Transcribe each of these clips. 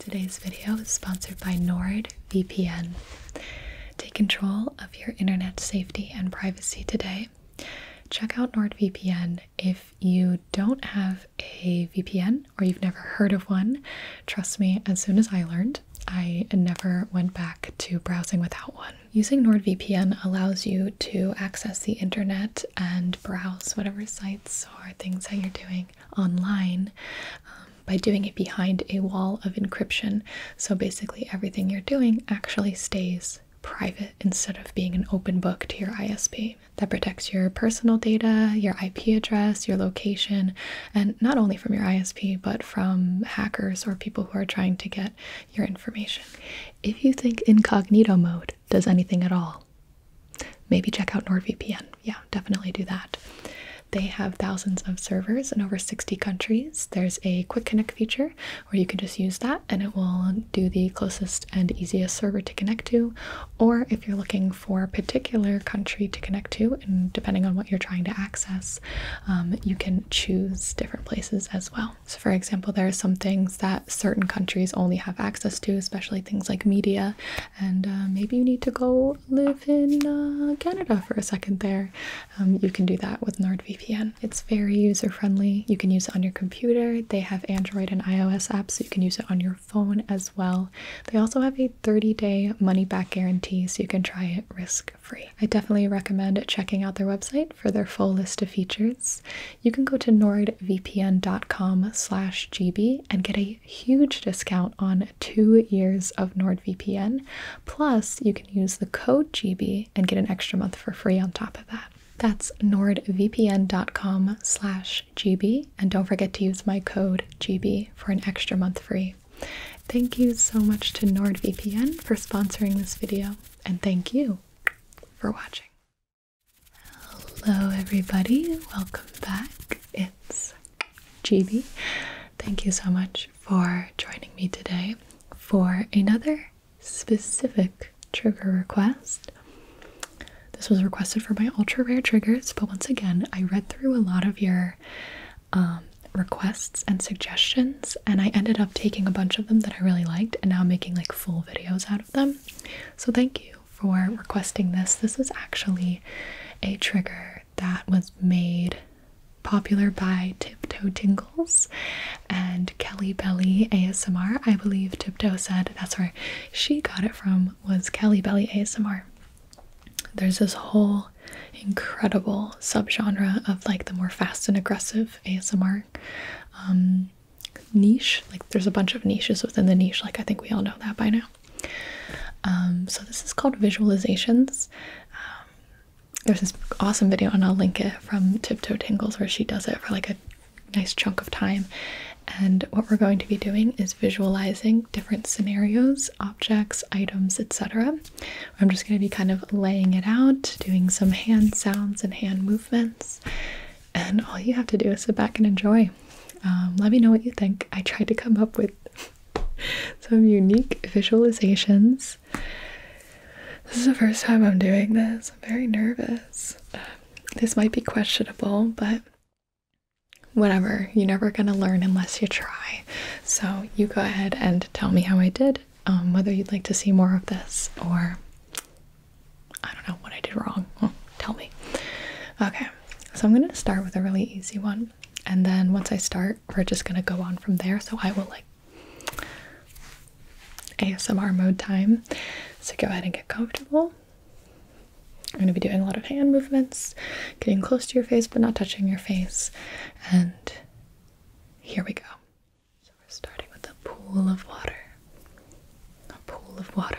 Today's video is sponsored by NordVPN. Take control of your internet safety and privacy today. Check out NordVPN. If you don't have a VPN or you've never heard of one, trust me, as soon as I learned, I never went back to browsing without one. Using NordVPN allows you to access the internet and browse whatever sites or things that you're doing online um, by doing it behind a wall of encryption. So basically, everything you're doing actually stays private instead of being an open book to your ISP. That protects your personal data, your IP address, your location, and not only from your ISP, but from hackers or people who are trying to get your information. If you think incognito mode does anything at all, Maybe check out NordVPN. Yeah, definitely do that. They have thousands of servers in over 60 countries. There's a quick connect feature where you can just use that and it will do the closest and easiest server to connect to. Or if you're looking for a particular country to connect to, and depending on what you're trying to access, um, you can choose different places as well. So, for example, there are some things that certain countries only have access to, especially things like media, and uh, maybe you need to go live in uh, Canada for a second there. Um, you can do that with NordVPN. It's very user friendly. You can use it on your computer. They have Android and iOS apps, so you can use it on your phone as well. They also have a 30 day money back guarantee, so you can try it risk free. I definitely recommend checking out their website for their full list of features. You can go to nordvpn.com/gb and get a huge discount on two years of NordVPN. Plus, you can use the code GB and get an extra month for free on top of that. That's nordvpn.com slash GB. And don't forget to use my code GB for an extra month free. Thank you so much to NordVPN for sponsoring this video. And thank you for watching. Hello, everybody. Welcome back. It's GB. Thank you so much for joining me today for another specific trigger request. This was requested for my ultra rare triggers, but once again, I read through a lot of your um, requests and suggestions, and I ended up taking a bunch of them that I really liked and now making like full videos out of them. So, thank you for requesting this. This is actually a trigger that was made popular by Tiptoe Tingles and Kelly Belly ASMR. I believe Tiptoe said that's where she got it from was Kelly Belly ASMR. There's this whole incredible subgenre of like the more fast and aggressive ASMR um, niche. Like there's a bunch of niches within the niche. Like I think we all know that by now. Um, so this is called visualizations. Um, there's this awesome video, and I'll link it from Tiptoe Tingles, where she does it for like a nice chunk of time. And what we're going to be doing is visualizing different scenarios, objects, items, etc. I'm just going to be kind of laying it out, doing some hand sounds and hand movements, and all you have to do is sit back and enjoy. Um, let me know what you think. I tried to come up with some unique visualizations. This is the first time I'm doing this. I'm very nervous. Um, this might be questionable, but whatever. You're never going to learn unless you try. So you go ahead and tell me how I did, um, whether you'd like to see more of this or I don't know what I did wrong. Tell me. Okay, so I'm gonna start with a really easy one, and then once I start, we're just gonna go on from there. So I will like ASMR mode time. So go ahead and get comfortable. I'm gonna be doing a lot of hand movements, getting close to your face but not touching your face, and here we go. So we're starting with a pool of water. A pool of water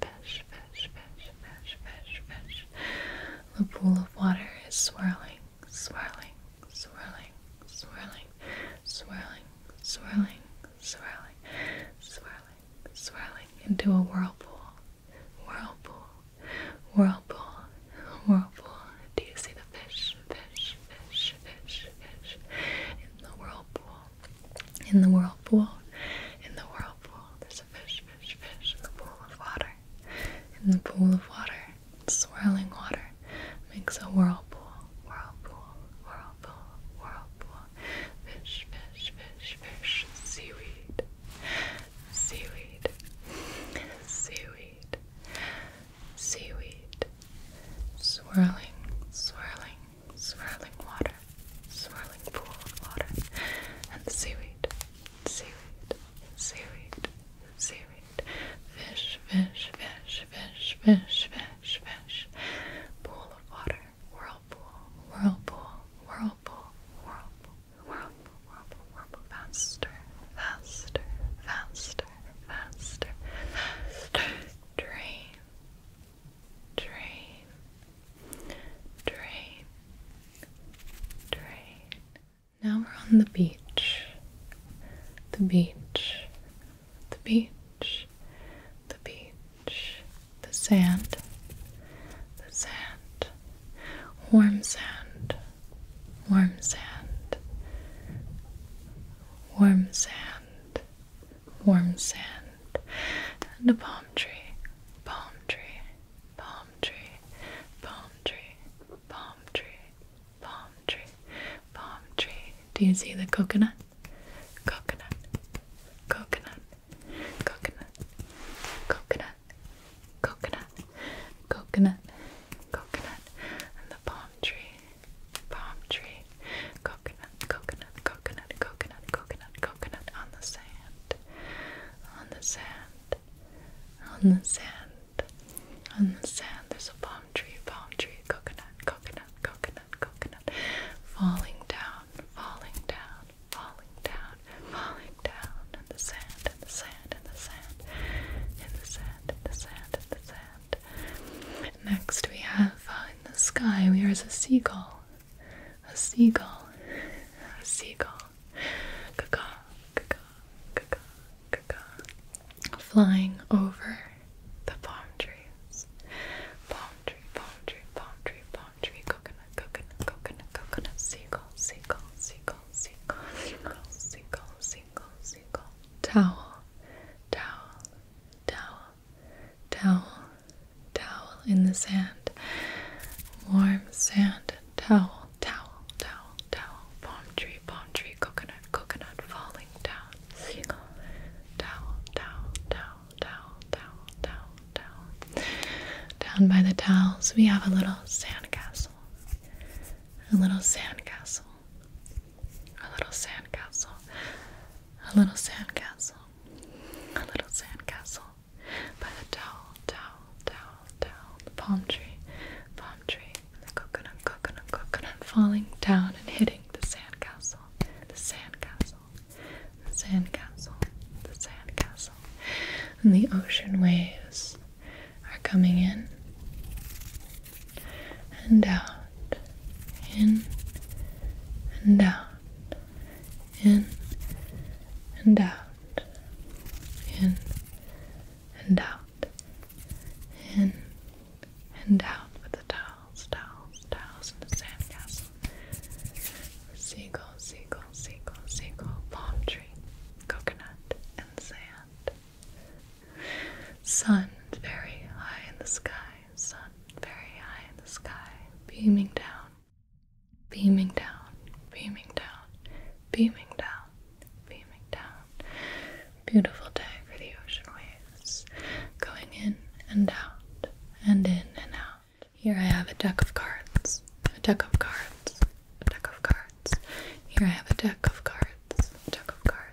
fish, fish, fish, fish, fish, fish. The pool of water is swirling, swirling, swirling, swirling, swirling, swirling, swirling, swirling, swirling into a whirlpool. Whirlpool, whirlpool, whirlpool. Do you see the fish, fish, fish, fish, fish in the whirlpool? in the whirlpool, in the whirlpool. There's a fish, fish, fish in the pool of water. In the pool of water, swirling water makes a whirlpool, whirlpool, whirlpool, whirlpool. Fish, fish, fish, fish, seaweed, seaweed, seaweed, seaweed. Swirling, swirling, swirling water, swirling pool of water, and seaweed, seaweed, seaweed, seaweed, fish, fish, fish, fish, fish, fish, fish, pool of water, whirlpool, whirlpool, whirlpool, whirlpool, whirlpool, whirlpool, whirlpool, faster, faster, faster, faster, faster, dream drain, drain, drain. Now we're on the beach, the beach, the beach, the beach, the sand, the sand, warm sand, warm sand, warm sand, warm sand, and a palm tree, palm tree, palm tree, palm tree, palm tree, palm tree, palm tree. Do you see the coconut? Coconut, coconut, coconut, coconut, coconut, coconut, coconut, and the palm tree, palm tree, coconut coconut, coconut, coconut, coconut, coconut on the sand, on the sand, on the sand, on the sand. There's a palm tree, palm tree, coconut, coconut, coconut, coconut, falling down, falling down, falling down, falling down, in the sand, in the sand, in the sand, in the sand, in the sand, in the sand. Next, we have uh, in the sky, we are as a seagull. A seagull. A seagull. Caca, caca, caca, caca. Flying over the palm trees. Palm tree, palm tree, palm tree, palm tree. Coconut, coconut, coconut, coconut. Seagull, seagull, seagull, seagull, seagull, seagull, seagull, seagull. Towel, towel, towel, towel, towel in the sand. Warm sand, towel, towel, towel, towel. Palm tree, palm tree, coconut, coconut, falling down. Seagull, towel, towel, towel, towel, towel, towel, towel. Down by the towels, we have a little sandcastle. A little sandcastle. A little sandcastle. A little sandcastle. A little sandcastle. By the towel, towel, towel, towel. The palm tree, palm tree. And the coconut, coconut, coconut falling down and hitting the sandcastle. The sandcastle. The sandcastle. The sandcastle. And the ocean waves are coming in and out in and out, in and out, in and out, in and out with the towels, towels, towels and the sandcastle. Seagull, seagull, seagull, seagull, palm tree, coconut, and sand. Sun very high in the sky sun very high in the sky, beaming down, beaming down, beaming down, beaming down, beaming down. Beautiful day for the ocean waves, going in and out, and in and out. Here I have a deck of cards, a deck of cards, a deck of cards. Here I have a deck of cards, a deck of cards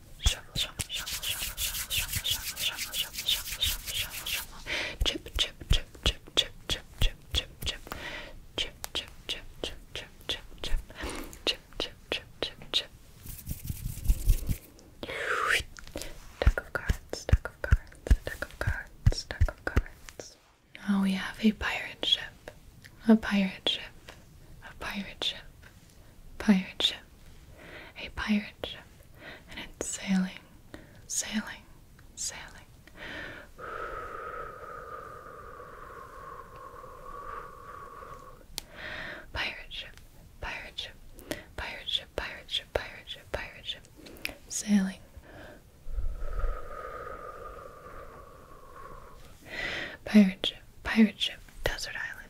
Shuffle, shuffle, shuffle, shuffle, shuffle, shuffle, shuffle, shuffle, shuffle, shuffle, shuffle, shuffle, shuffle. Chip, chip, chip, chip, chip, chip, chip, chip, chip. Chip, chip, chip, chip, chip, chip, chip. Chip, chip, chip, chip, chip. Deck of cards, deck of cards, deck of cards, deck of cards. Now we have a pirate ship, a pirate ship, a pirate ship pirate ship, a pirate ship, and it's sailing, sailing, sailing. Pirate ship, pirate ship, pirate ship, pirate ship, pirate ship, sailing. Pirate ship, pirate ship, desert island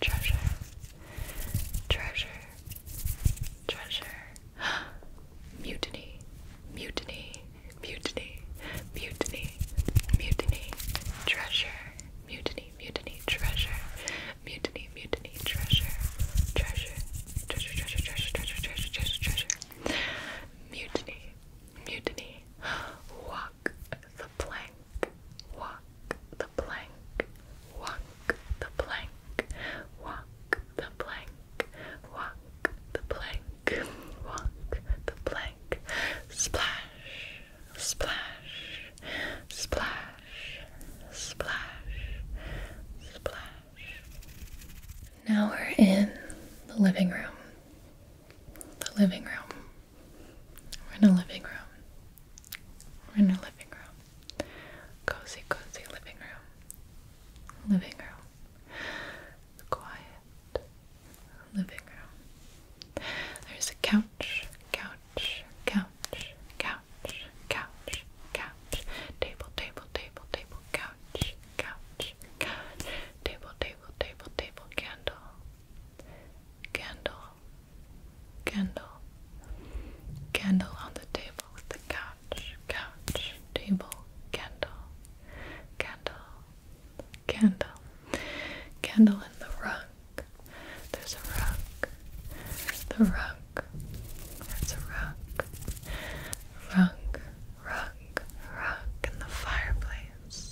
treasure, treasure, treasure. mutiny, mutiny, mutiny, mutiny, mutiny, treasure, mutiny, mutiny, treasure, mutiny, mutiny, treasure, treasure, treasure, treasure, treasure, treasure, treasure, treasure, treasure. Mutiny, mutiny, walk the plank walk the plank, walk the plank, walk the plank, walk the plank, walk the plank, splash, splash, splash, splash, splash. Now we're in the living room. The living room. We're in a living room. We're in a living room. Cozy, cozy living room. Living room. Quiet living room. There's a couch, couch, couch, couch, couch, couch, table, table, table, table, couch, couch, couch, table, table, table, table, candle. Candle, Candle. Candle on the table with the couch. Couch. Table. Candle. Candle. Candle. Candle in the rug. There's a rug. The rug. There's a rug. Rug. Rug. Rug in the fireplace.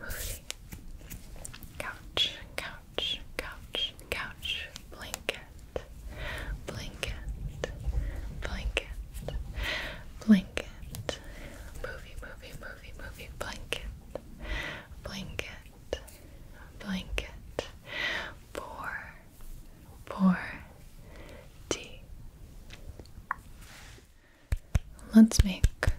movie. Couch, couch, couch, couch, blanket, blanket, blanket, blanket, movie, movie, movie, movie, blanket, blanket, blanket, pour, pour, tea. Let's make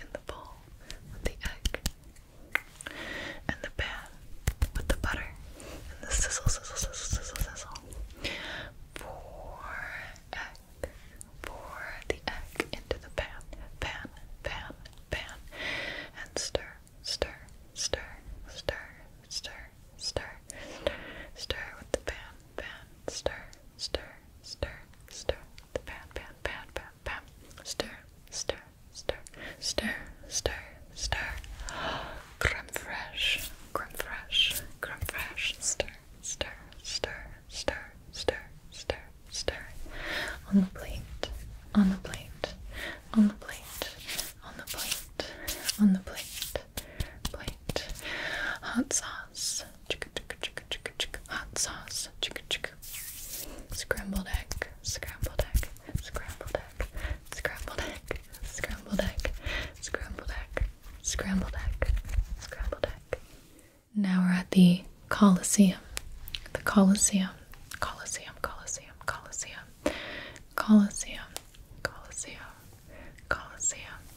in the bowl the egg and the pan with the butter and the sizzle, sizzle, sizzle, sizzle, sizzle. Pour egg, pour the egg into the pan, pan, pan, pan, and stir, stir, stir, stir, stir, stir, stir, stir with the pan, pan, stir, stir, stir, stir pan, pan, pan, pan, pan. Stir, stir, stir, stir, stir, stir. Creme fraiche, creme fraiche, creme fraiche. Stir, stir, stir, stir, stir, stir, stir. On the plate, on the plate, on the plate, on the plate, on the plate, plate. Hot sauce, Chicka chicka chicka chicka chicka. Hot sauce. Chicka chicka. Scrambled egg. Scrambled egg. Scrambled egg. Scrambled egg. Scrambled egg. Scrambled egg. Scrambled egg. Scrambled egg. Now we're at the Colosseum. The Colosseum. Colosseum. Colosseum. Colosseum. Colosseum. Colosseum. Colosseum.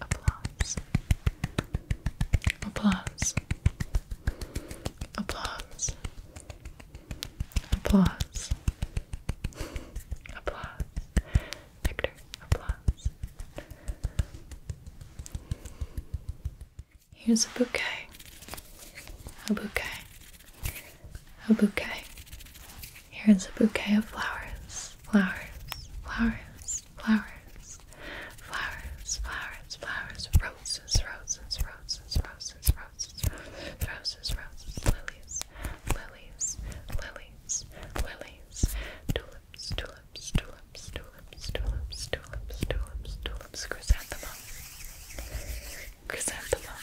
Applause. Applause. Applause. Applause. applause. Victor, applause. Here's a bouquet. A bouquet. A bouquet. Here's a bouquet of flowers, flowers, flowers, flowers, flowers, flowers, flowers, roses, roses, roses, roses, roses, roses, roses, lilies, lilies, lilies, lilies, tulips, tulips, tulips, tulips, tulips, tulips, tulips, tulips, chrysanthemum, chrysanthemum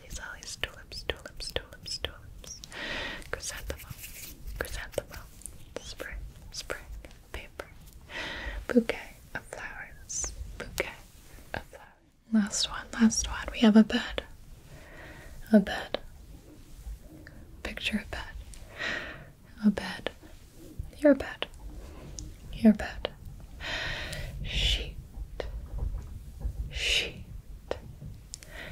lilies, lilies, tulips, tulips, tulips, tulips, chrysanthemum, chrysanthemum, spring, spring, paper, bouquet of flowers, bouquet of flowers. Last one, last one. We have a bed. A bed. Picture of bed. A bed. Your bed. Your bed. Sheet. Sheet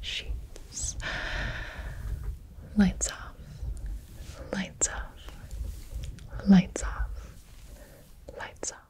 sheets. Lights off, lights off, lights off, lights off.